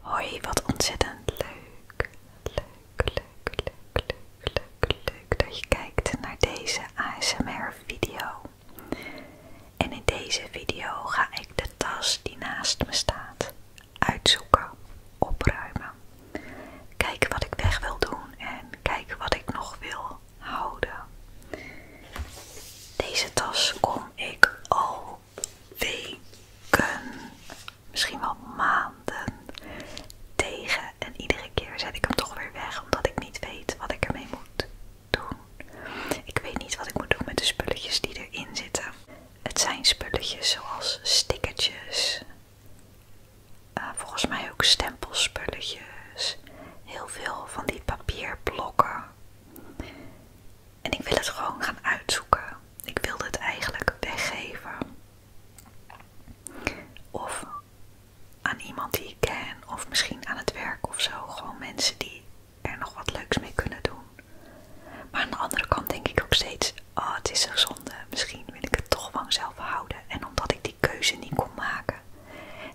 Hoi, wat ontzettend leuk. Leuk, leuk, leuk, leuk, leuk, leuk dat je kijkt naar deze ASMR-video. En in deze video ga ik de tas die naast me staat uitzoeken, opruimen. Kijken wat ik weg wil doen en kijken wat ik nog wil houden. Deze tas kom ik al weken, misschien wel maanden tegen. En iedere keer zet ik hem toch weer weg, omdat ik niet weet wat ik ermee moet doen. Ik weet niet wat ik moet doen met de spulletjes die erin zitten. Het zijn spulletjes zoals stickertjes, eh, volgens mij ook stempelspulletjes, heel veel van die papierblokken. En ik wil het gewoon gaan uitzoeken. Ik wilde het eigenlijk weggeven. Of aan iemand die ik ken, of misschien aan het werk of zo. Gewoon mensen die er nog wat leuks mee kunnen doen. Maar aan de andere kant denk ik ook steeds: ah, het is een zonde. Misschien wil ik het toch vanzelf houden. En omdat ik die keuze niet kon maken,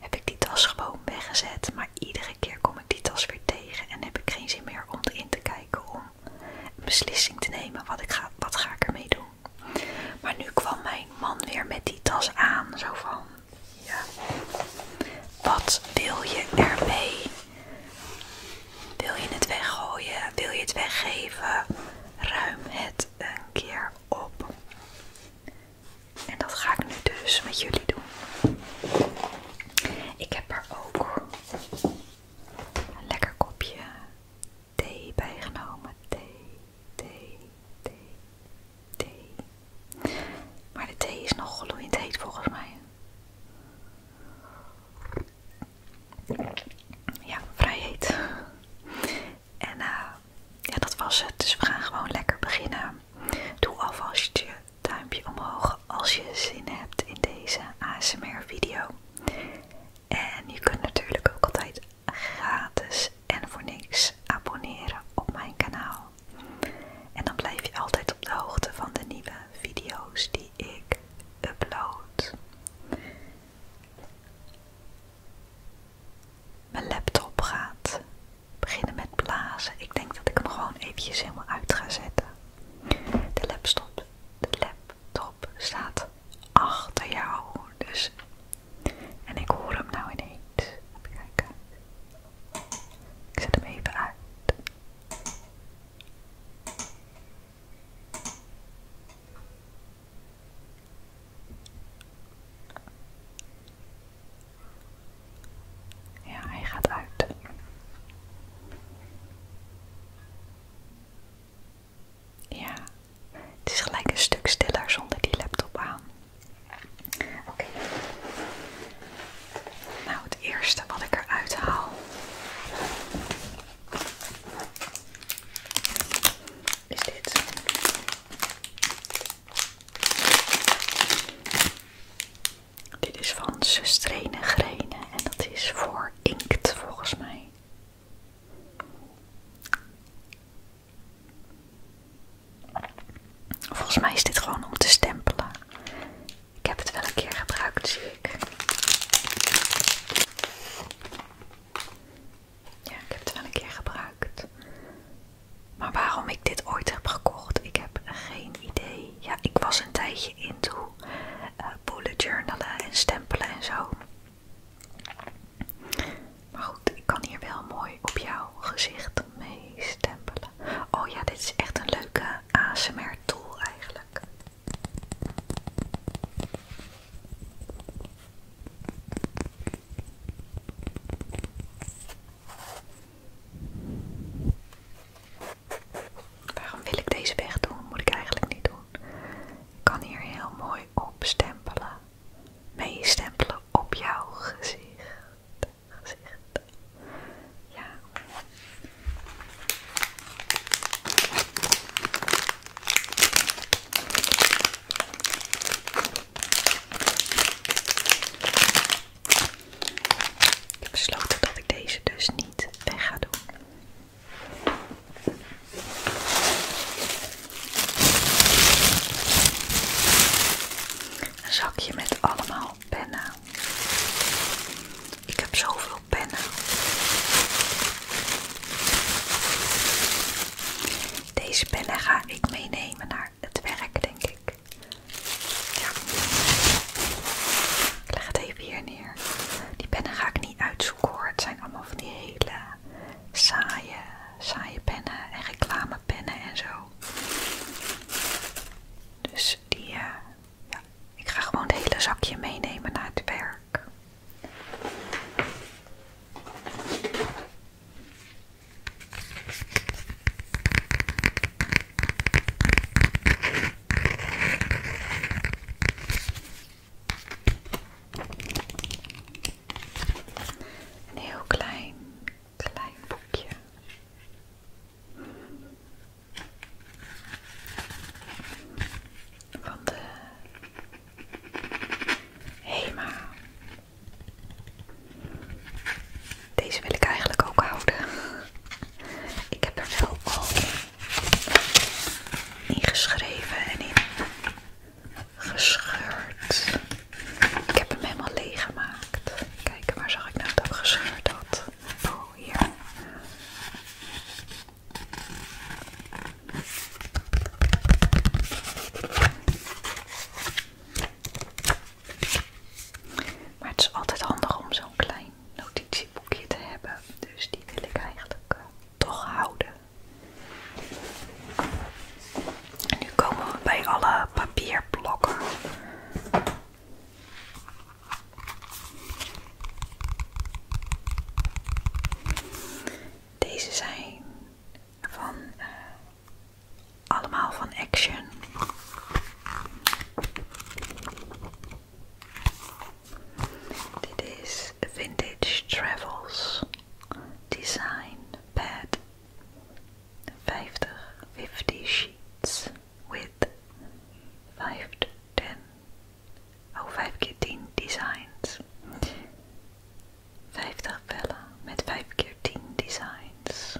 heb ik die tas gewoon weggezet. Maar iedere keer kom ik die tas weer tegen en heb ik geen zin meer om erin te kijken, om een beslissing te nemen. Wat, ik ga, wat ga ik ermee doen? Maar nu kwam mijn man weer met die tas aan. Zo van, ja, wat wil je ermee? Wil je het weggooien? Wil je het weggeven? Ruim het een keer op. En dat ga ik nu dus met jullie doen. Ik heb er ook lekker kopje thee bijgenomen. Thee, thee, thee, thee. Maar de thee is nog gloeiend heet volgens mij. Ja, vrij heet. En eh, ja, dat was het. Dus we gaan gewoon lekker beginnen. Doe alvast je duimpje omhoog als je zin hebt in deze ASMR video. En je kunt natuurlijk ook altijd gratis en voor niks abonneren op mijn kanaal. En dan blijf je altijd op de hoogte van de nieuwe video's die ik upload. Mijn laptop gaat beginnen met blazen. Ik denk dat ik hem gewoon eventjes helemaal uit ga zetten. De laptop de laptop staat achter jou. Dus. En ik hoor hem nou ineens. Even kijken. Ik zet hem even uit. Ja, hij gaat uit. Ja, het is gelijk een stuk stiller zonder die laptop aan. Oké. Nou, het eerste wat ik eruit haal is dit. Dit is van Sustrene Grenen en dat is voor inkt volgens mij. Volgens mij is dit gewoon om te stempelen. Ik heb het wel een keer gebruikt, zie ik. Ja, ik heb het wel een keer gebruikt. Maar waarom ik dit ooit heb gekocht, ik heb geen idee. Ja, ik was een tijdje into uh, journalen en stempelen en zo. Maar goed, ik kan hier wel mooi op jouw gezicht mee stempelen. Oh ja, dit is echt een leuke ASMR tool eigenlijk. Waarom wil ik deze weg doen? Moet ik eigenlijk niet doen. Ik kan hier heel mooi op opstempelen. Meestempelen op jouw gezicht. gezicht. Ja. Ik heb besloten dat ik deze dus niet weg ga doen. Een zakje met allemaal pennen. Ik heb zoveel pennen. Deze pennen ga ik meenemen naar het werk, denk ik. Ja. Ik leg het even hier neer. Die pennen ga ik niet uitzoeken hoor. Het zijn allemaal van die hele saaie, saaie pennen en reclamepennen en zo. Dus die, eh, ja, ik ga gewoon het hele zakje meenemen naar het werk. Een heel klein, klein boekje. de Hema. Deze wil ik eigenlijk ook houden. Ik heb er wel al ingeschreven en in gescheurd. Ik heb hem helemaal leeg gemaakt. Kijk, waar zag ik nou dat gescheurd had? Oh, hier. Maar het is altijd handig om zo'n klein notitieboekje te hebben. Dus die wil ik eigenlijk eh, toch houden. nu komen we bij alle papierblokken. Deze zijn van eh, allemaal van Action. Dit is Vintage Travels Design Pad 50, sheets with 5 to 10, 5 designs. 50 vellen met 5 keer 10 designs.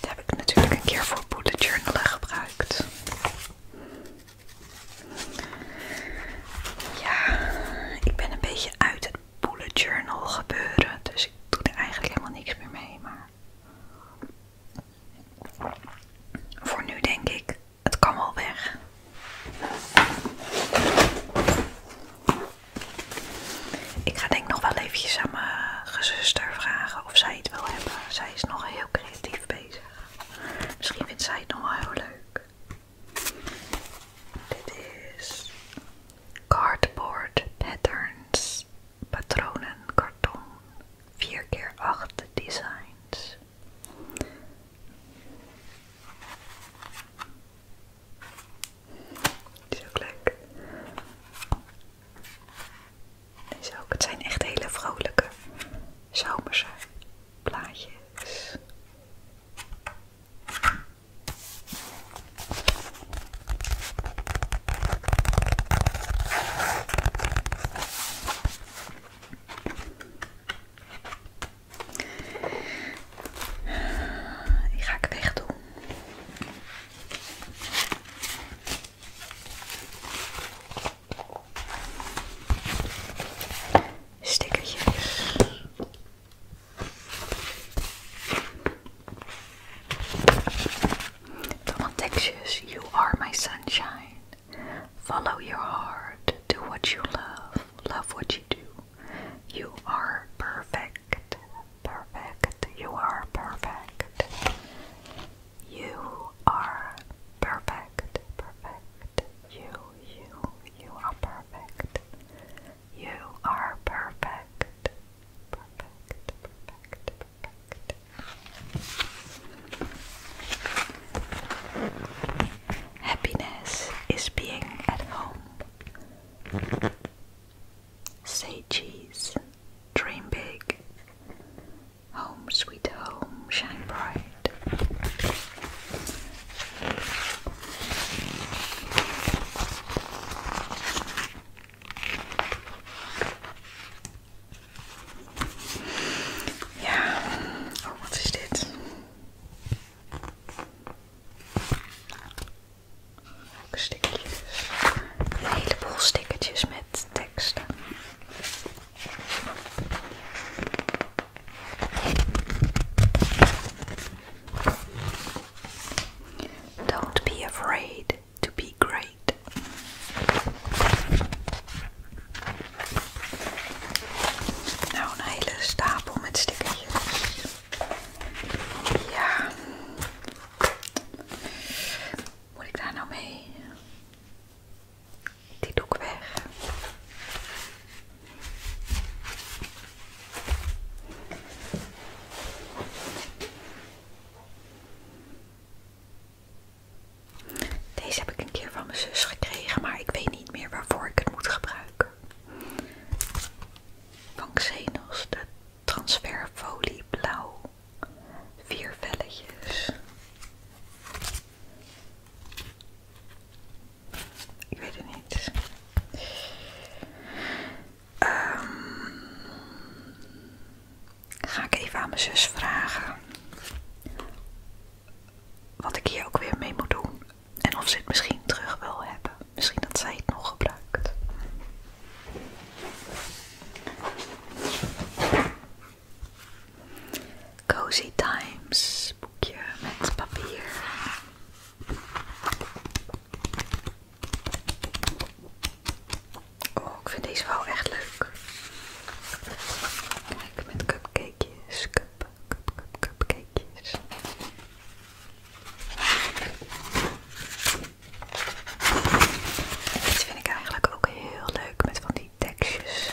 Dat heb ik natuurlijk een keer voor bullet journalen gebruikt. Ja, ik ben een beetje uit het bullet journal gebeuren, dus ik doe er eigenlijk helemaal niks meer mee. Maar voor nu denk ik het kan wel weg. Ik ga denk ik nog wel eventjes aan mijn gezuster vragen of zij het wil hebben. Zij is nog heel creatief bezig. Misschien vindt zij het nog wel heel leuk. Dit is cardboard patterns, patronen, karton, 4x8 designs. Die is ook leuk. Deze ook. Het zijn echt hele vrolijke zomerse plaatjes. Ik ga ik wegdoen. doen. Stickertjes. Allemaal You are my sunshine. Follow your heart. Do what you love. Love what you You are perfect. Perfect. You are perfect. You are perfect. Perfect. You, you, you are perfect. You are perfect. Perfect. Perfect. Perfect. Happiness is being at home. Say cheese, dream big. Home, sweet home, shine bright. Ja, oh, wat stickertjes. heleboel stickertjes met teksten. Don't be afraid to be great. Nou, een hele stapel met stickertjes. Ja. Moet ik daar nou mee? Die doe ik weg. Deze heb ik een keer van mijn zus gekregen, maar ik weet niet meer waarvoor ik het moet gebruiken. Van Xenos de transferfolie blauw. Vier velletjes. Ik weet het niet. Ehm, ga ik even aan mijn zus vragen. Wat ik hier ook weer mee moet doen. En of ze het misschien terug wil hebben. Misschien dat zij het nog gebruikt. Cozy Times boekje met papier. Oh, ik vind deze wel echt leuk. Kijk, met cupcakejes, cup, dit vind ik eigenlijk ook heel leuk met van die tekstjes.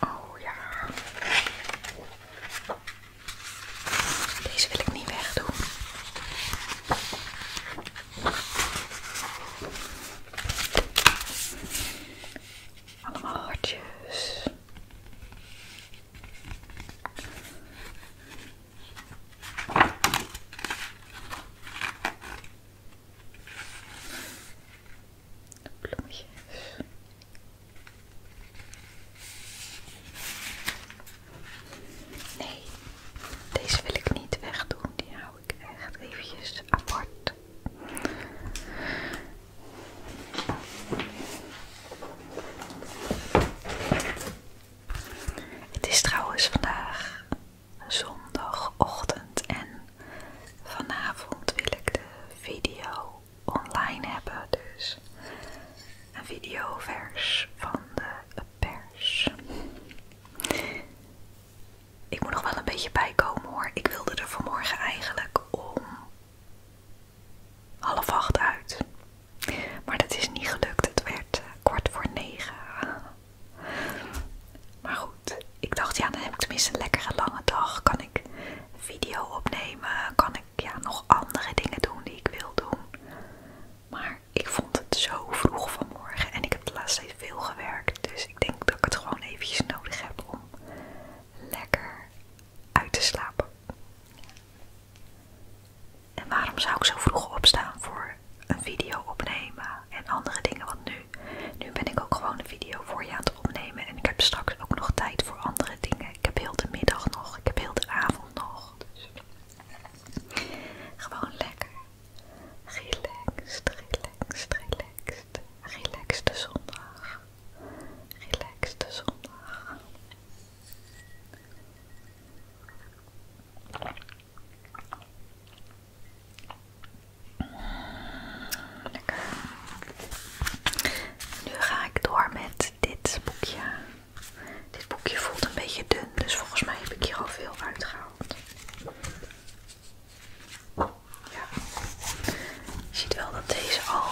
Oh ja. Deze wil ik niet wegdoen. Allemaal hartjes. Nee, deze wil ik niet wegdoen. Die hou ik echt eventjes apart. Het is trouwens vandaag zondagochtend en vanavond wil ik de video online hebben, dus een videovers van de pers. Ik moet nog wel een beetje bijkomen hoor. Ik wilde er vanmorgen eigenlijk om half acht uit. Maar dat is niet gelukt. Het werd eh, kort voor negen. Maar goed, ik dacht ja, dan heb ik tenminste een lekkere lange dag. Kan ik video opnemen? Kan ik ja, nog andere dingen doen die ik wil doen? Maar ik vond het zo vroeg vanmorgen en ik heb de laatste tijd veel gewerkt. Dus ik denk dat ik het gewoon eventjes nodig heb om lekker uit te slapen. En waarom zou ik zo vroeg opstaan voor een video opnemen en andere dingen? Want nu, nu ben ik ook gewoon een video voor je aan het opnemen. En ik heb straks ook nog tijd voor andere dingen. Ik heb heel de middag nog, ik heb heel de avond nog. Dus gewoon lekker. Relaxed, relaxed, relaxed. Relaxed zondag de zondag. Lekker. Nu ga ik door met dit boekje. Dit boekje voelt een beetje dun, dus volgens mij heb ik hier al veel uitgehaald. Ja. Je ziet wel dat deze al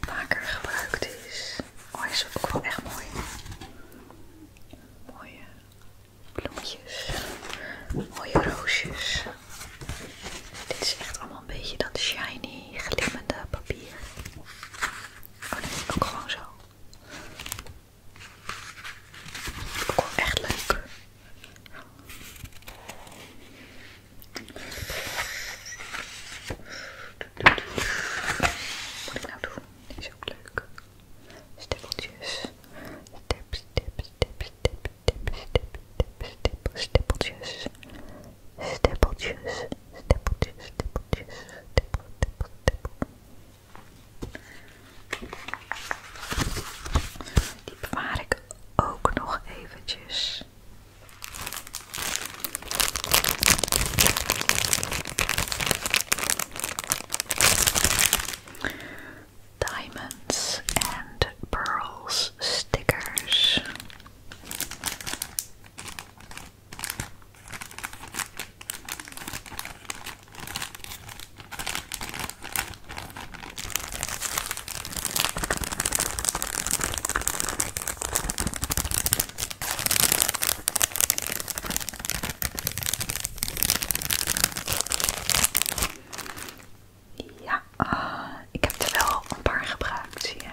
vaker gebruikt is. Oh, hij is ook wel echt mooi. Mooie bloemetjes, mooie roosjes. Dit is echt allemaal een beetje dat shiny, glimmende papier. Oh nee, ook gewoon zo. Ook wel echt leuk. Wat moet ik nou doen? is ook leuk. Stippeltjes. tip, tip, tip, tip, tip, tip, tip stippeltjes. Stippeltjes. Stippeltjes, stippeltjes. tip, tip, tip. Die bewaar ik ook nog eventjes. Diamonds and Pearls stickers. Ja, eh, ik heb er wel een paar gebruikt, zie je.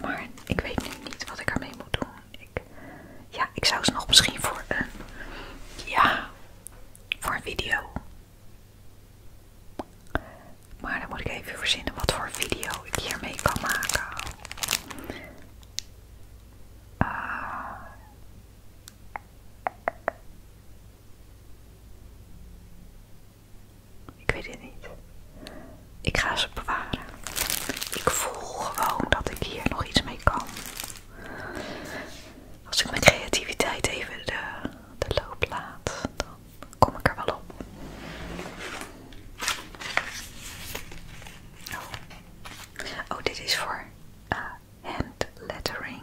Maar ik weet nu niet wat ik ermee moet doen. Ik, ja, ik zou ze nog misschien voor een. Ja, voor een video maar dan moet ik even verzinnen wat voor video ik hiermee kan maken. Ah. ik weet het niet. Ik ga ze bewaren. Ik voel gewoon dat ik hier nog iets mee kan. Als ik mijn creativiteit even de de loopplaat, dan kom ik er wel op. Oh, oh dit is voor handlettering eh, hand lettering.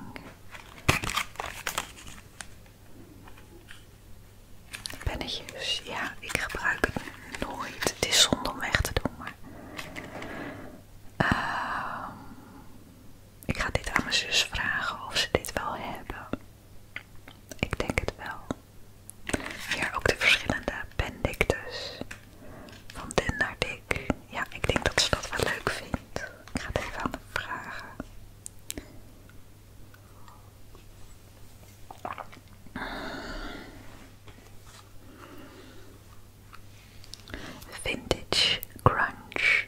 Pennetjes, ja, ik gebruik het nooit. Het is zonde om weg te doen, maar. Ehm, ik ga dit aan mijn zus vragen of ze dit wel hebben. Ik denk het wel. Ja, ook de verschillende pendictus. Van dun naar dik. Ja, ik denk dat ze dat wel leuk vindt. Ik ga het even aan de vragen. Vintage Crunch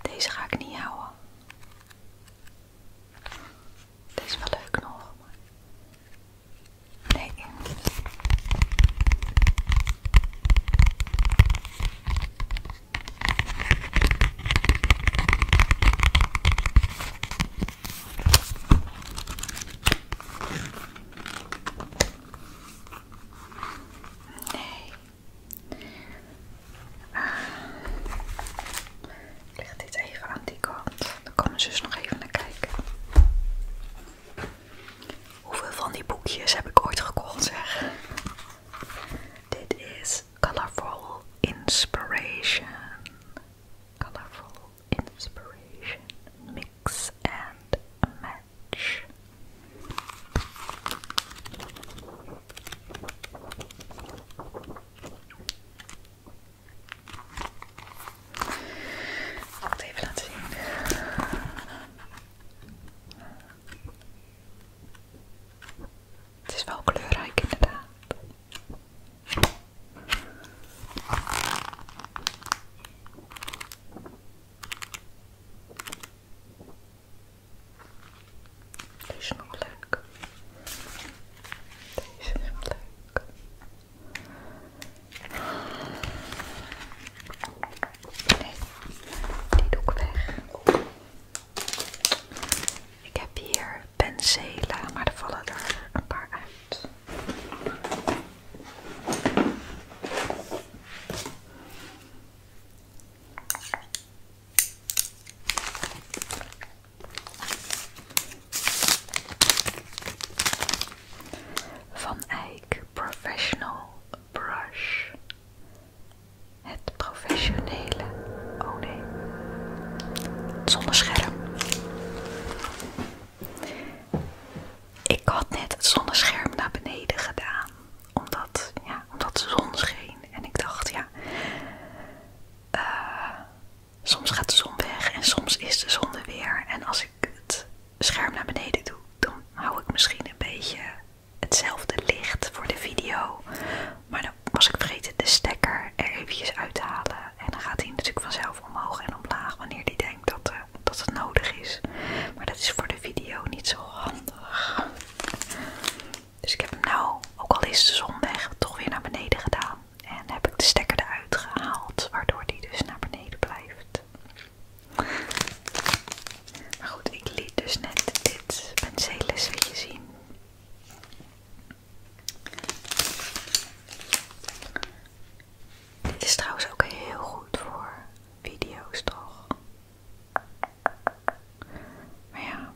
deze ga ik niet houden. Deze is wel leuk nog, maar... Nee. Nee. leg dit even aan die kant. Dan komen ze eens dus nog even naar kijken. Hoeveel van die boekjes heb ik ooit gekocht, zeg? Dit is Colorful Inspiration. Colorful Inspiration Mix and Match much. even laten zien. Het is wel kleurrijk inderdaad. Deze is nog leuk. Deze is leuk. Nee, die doe ik weg. Ik heb hier penselen, maar er vallen er een paar uit. Van Eyck Professional Brush. Het professionele. Oh nee. Het ik had net het zonnescherm naar beneden gedaan. Omdat, ja, omdat de zon scheen. En ik dacht, ja, eh, soms gaat de zon weg en soms is de zon er weer. En als ik het scherm naar beneden doe, dan hou ik misschien een beetje hetzelfde licht voor de video. Maar dan was ik vergeten de stekker er eventjes uit te halen. En dan gaat hij natuurlijk vanzelf omhoog en omlaag wanneer die denkt dat de dat het nodig is. Maar dat is voor de video niet zo handig. Dus ik heb hem nou, ook al is de zondag, toch weer naar beneden gedaan. En heb ik de stekker eruit gehaald, waardoor die dus naar beneden blijft. Maar goed, ik liet dus net dit penseelsletje zien. Dit is trouwens ook heel goed voor video's, toch? Maar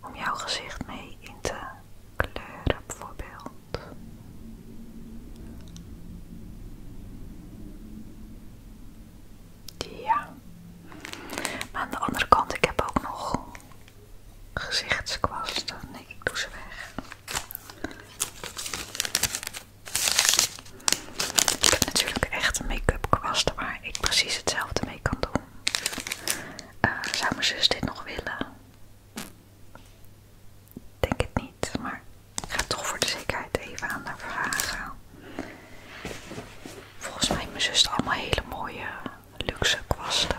Om jouw gezicht mee in te kleuren, bijvoorbeeld. Ja. Maar aan de andere kant, ik heb ook nog gezichtskwasten. Nee, ik doe ze weg. Ik heb natuurlijk echt een make-up kwast waar ik precies hetzelfde mee kan doen. Eh, zou mijn zus dit nog willen? Denk het niet, maar ik ga toch voor de zekerheid even aan haar vragen. Volgens mij heeft mijn zus allemaal hele mooie luxe kwasten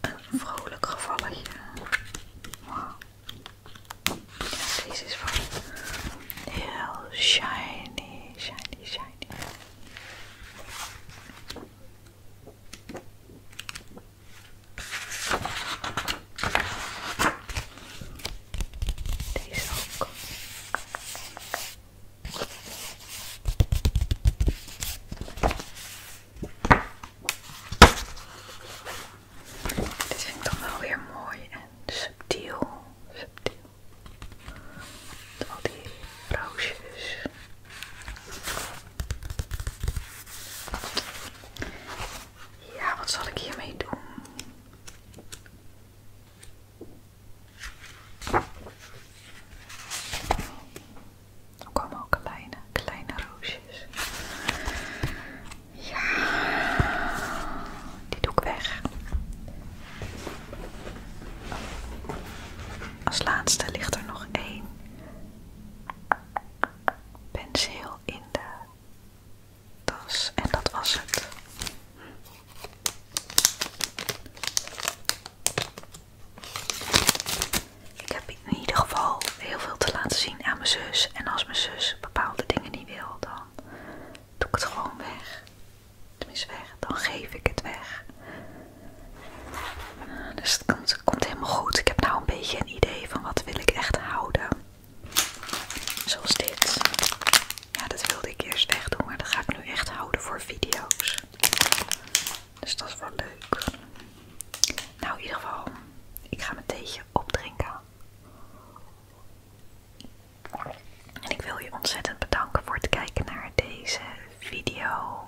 een vrolijk gevalletje. deze is van heel shiny, shiny, shiny. Deze ook. Dit vind ik dan wel weer mooi en subtiel. subtiel. Met al die roosjes. Ja, wat zal ik hiermee doen? kom ook kleine, kleine roosjes. Ja, die doe ik weg. Als laatste ligt er nog één penseel in de tas en dat was het. Ik heb in ieder geval heel veel te laten zien aan mijn zus. En als mijn zus bepaalde dingen niet wil, dan doe ik het gewoon weg. Tenminste weg, dan geef ik het weg. Ah, dus het komt, helemaal goed. Ik heb nou een beetje een idee van wat wil ik echt houden. Zoals dit. Ja, dat wilde ik eerst doen, maar dat ga ik nu echt houden voor video's. Dus dat is wel leuk. Nou, in ieder geval, ik ga mijn theeje opdrinken. En ik wil je ontzettend bedanken voor het kijken naar deze video.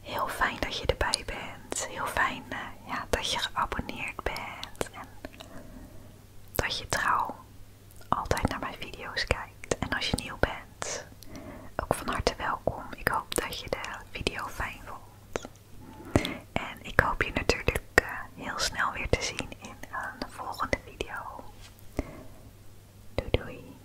Heel fijn dat je erbij bent. Heel fijn eh, dat je geabonneerd bent. En dat je trouw altijd naar mijn video's kijkt. En als je nieuw bent. Ook van harte welkom. Ik hoop dat je de video fijn vond. En ik hoop je natuurlijk eh, heel snel weer te zien in een eh, volgende video. doei. doei, doei.